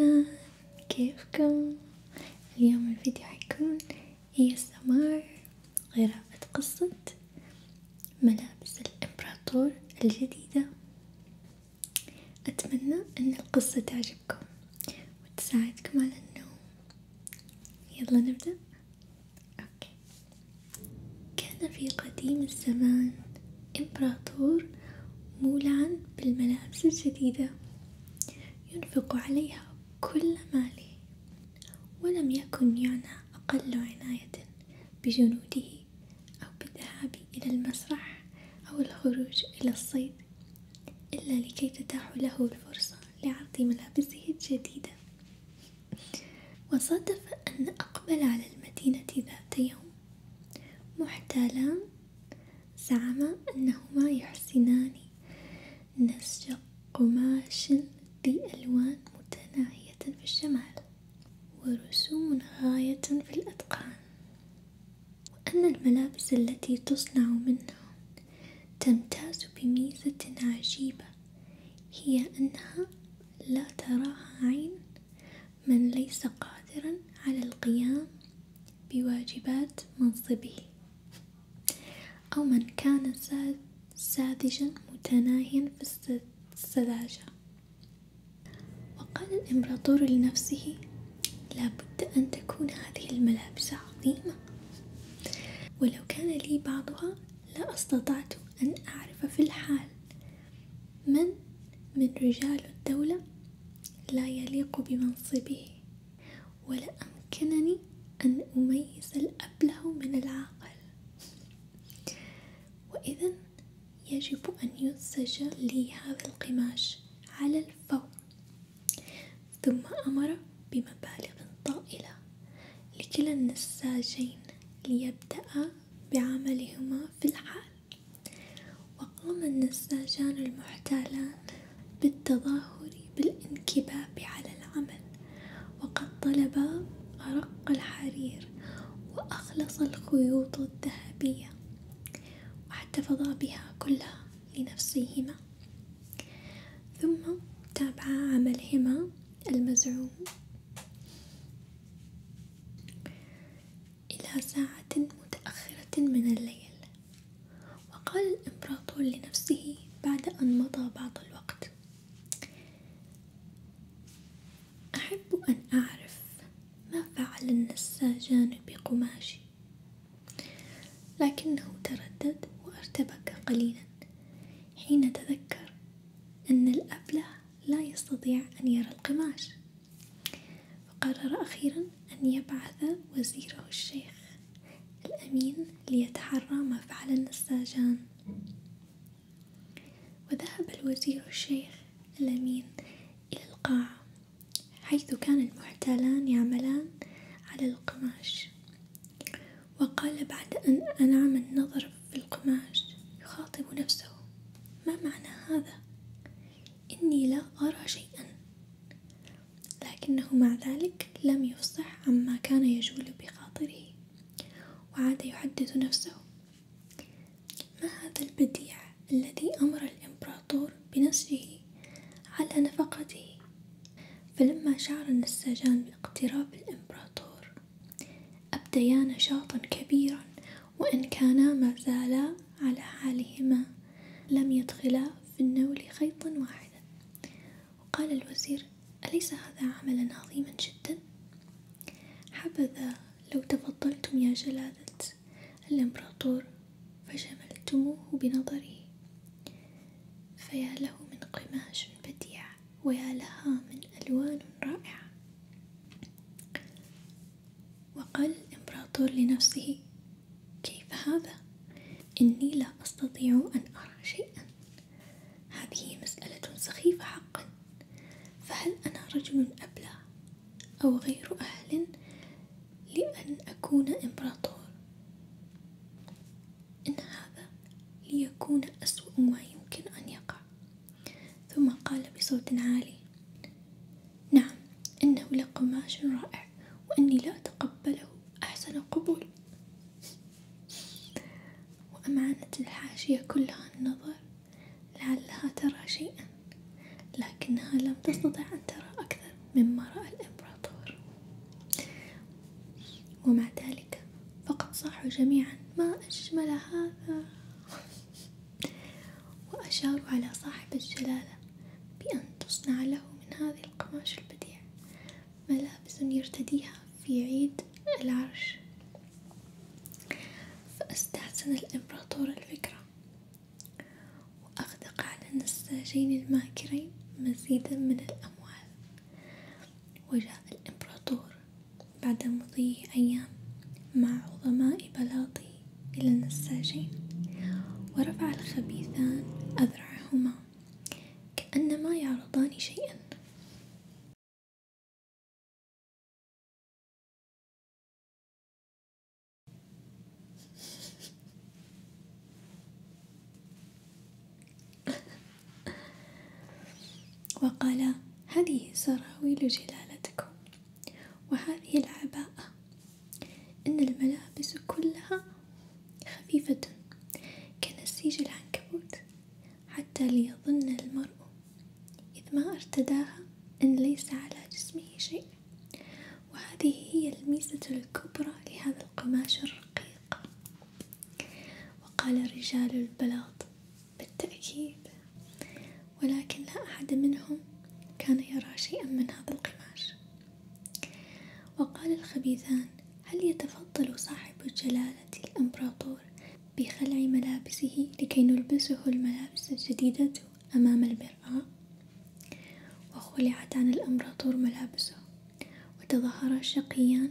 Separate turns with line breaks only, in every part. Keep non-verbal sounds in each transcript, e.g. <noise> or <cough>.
أهلا كيفكم؟ اليوم الفيديو حيكون هي السمار قراءة قصة ملابس الإمبراطور الجديدة أتمنى أن القصة تعجبكم وتساعدكم على النوم يلا نبدأ أوكي كان في قديم الزمان إمبراطور مولعا بالملابس الجديدة ينفق عليها كل ماله ولم يكن يعنى أقل عناية بجنوده أو بالذهاب إلى المسرح أو الخروج إلى الصيد إلا لكي تتاح له الفرصة لعرض ملابسه الجديدة وصادف أن أقبل على المدينة ذات يوم محتالان زعما أنهما يحسنان نسج قماش ذي ألوان متناهية في الشمال ورسوم غاية في الأتقان أن الملابس التي تصنع منها تمتاز بميزة عجيبة هي أنها لا تراها عين من ليس قادرا على القيام بواجبات منصبه أو من كان ساذجا متناهيا في السذاجة وقال الإمبراطور لنفسه لابد أن تكون هذه الملابس عظيمة ولو كان لي بعضها لا استطعت أن أعرف في الحال من من رجال الدولة لا يليق بمنصبه ولا أمكنني أن أميز الأبله من العاقل وإذا يجب أن ينسج لي هذا القماش على الفور ثم أمر بمبالغ طائلة لكلا النساجين ليبدأ بعملهما في الحال وقام النساجان المحتالان بالتظاهر بالانكباب على العمل وقد طلبا أرق الحرير وأخلص الخيوط الذهبية واحتفظا بها كلها لنفسهما ثم تابع عملهما المزعوم إلى ساعة متأخرة من الليل وقال الإمبراطور لنفسه بعد أن مضى بعض الوقت أحب أن أعرف ما فعل النساجان بقماشي لكنه تردد وارتبك قليلا حين تذكر أن الأبلة لا يستطيع أن يرى القماش فقرر أخيرا أن يبعث وزيره الشيخ الأمين ليتحرى ما فعل النساجان وذهب الوزير الشيخ الأمين إلى القاعة حيث كان المحتالان يعملان على القماش وقال بعد أن أنعم النظر في القماش يخاطب نفسه ما معنى هذا إني لا أرى شيئا لكنه مع ذلك لم يفصح عما كان يجول بخاطره وعاد يحدث نفسه ما هذا البديع الذي أمر الإمبراطور بنسجه على نفقته فلما شعر النساجان باقتراب الإمبراطور أبديا نشاطا كبيرا وإن كانا ما زالا على حالهما لم يدخلا في النول خيطا واحدا وقال الوزير أليس هذا عملا عظيما جدا حبذا لو تفضلتم يا جلالة الإمبراطور فجملتموه بنظري فيا له من قماش بديع ويا لها من ألوان رائعة وقال الإمبراطور لنفسه كيف هذا إني لا أستطيع أن أرى شيئا هذه مسألة سخيفة حقا فهل أنا رجل أبلع أو غير أهل لأن أكون إمبراطور إن هذا ليكون أسوأ ما يمكن أن يقع ثم قال بصوت عالي نعم إنه لقماش رائع وإني لا أتقبله أحسن قبول وأمعنت الحاشية كلها النظر لعلها ترى شيئا لكنها لم تستطع أن ترى أكثر مما رأى الإمبراطور ومع ذلك فقد صاحوا جميعا ما أجمل هذا وأشاروا على صاحب الجلالة بأن تصنع له من هذه القماش البديع ملابس يرتديها في عيد العرش فاستحسن الإمبراطور الفكرة وأغدق على النساجين الماكرين مزيدا من الأموال وجاء الإمبراطور بعد مضي أيام مع عظماء بلاطه إلى النساجين ورفع الخبيثان أذرعهما كأنما يعرضان شيئا وقال هذه سراويل جلالتكم وهذه العباءة إن الملابس كلها خفيفة كنسيج العنكبوت حتى ليظن المرء إذ ما ارتداها أن ليس على جسمه شيء وهذه هي الميزة الكبرى لهذا القماش الرقيق وقال رجال البلاط بالتأكيد ولكن لا أحد منهم كان يرى شيئا من هذا القماش وقال الخبيثان هل يتفضل صاحب جلالة الإمبراطور الظهر بخلع ملابسه لكي نلبسه الملابس الجديدة أمام المرآة وخلعت عن الأمراطور ملابسه وتظاهرا شقيان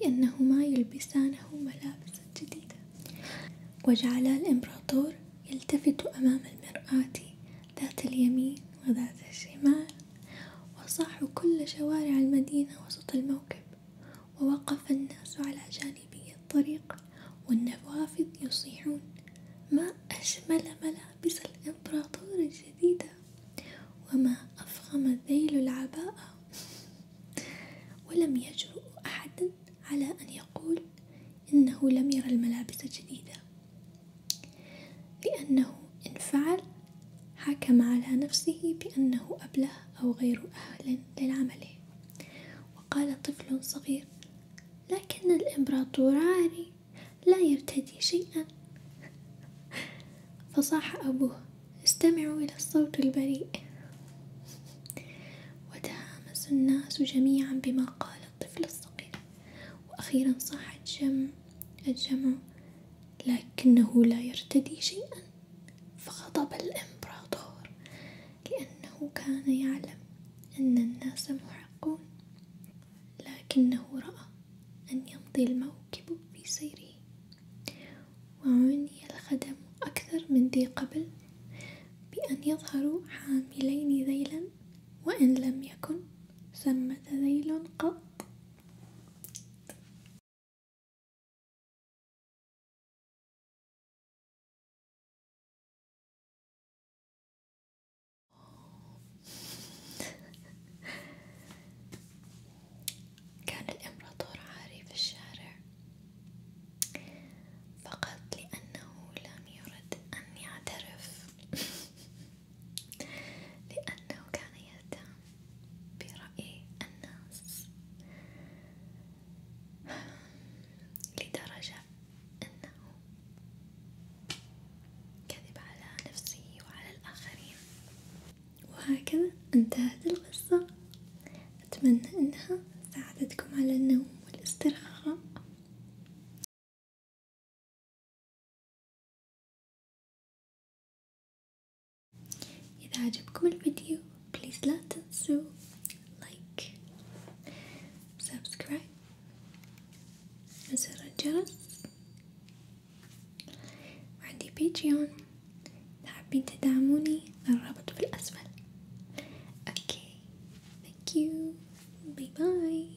بأنهما يلبسانه ملابسا جديدة وجعل الإمبراطور يلتفت أمام المرآة ذات اليمين وذات الشمال وصاحوا كل شوارع المدينة وسط الموكب ووقف الناس على جانبي الطريق والنوافذ يصيحون ما أجمل ملابس الإمبراطور الجديدة وما أفخم ذيل العباءة <laughs> ولم يجرؤ أحد على أن يقول إنه لم يرى الملابس الجديدة لأنه إن فعل حكم على نفسه بأنه أبله أو غير أهل للعمل وقال طفل صغير لكن الإمبراطور عاري لا يرتدي شيئا <laughs> فصاح أبوه استمعوا إلى الصوت البريء وتهامس الناس جميعا بما قال الطفل الصغير وأخيرا صاح الجمع الجمع لكنه لا يرتدي شيئا فغضب الإمبراطور لأنه كان يعلم أن الناس محقون لكنه رأى أن يمضي الموكب في سيره وعني الخدم أكثر من ذي قبل بأن يظهروا حاملين ذيلا وإن لم يكن ثمة ذيل قط كان الإمبراطور عاري في الشارع فقط لأنه لم يرد أن يعترف <laughs> لأنه كان يهتم برأي الناس لدرجة أنه كذب على نفسه وعلى الآخرين وهكذا انتهت القصة أتمنى أنها ساعدتكم على النوم والاسترخاء إذا عجبكم الفيديو بليز لا تنسوا لايك وسبسكرايب وزر الجرس وعندي بيتريون إذا حابين تدعموني الرابط في الأسفل Okay, Bye bye.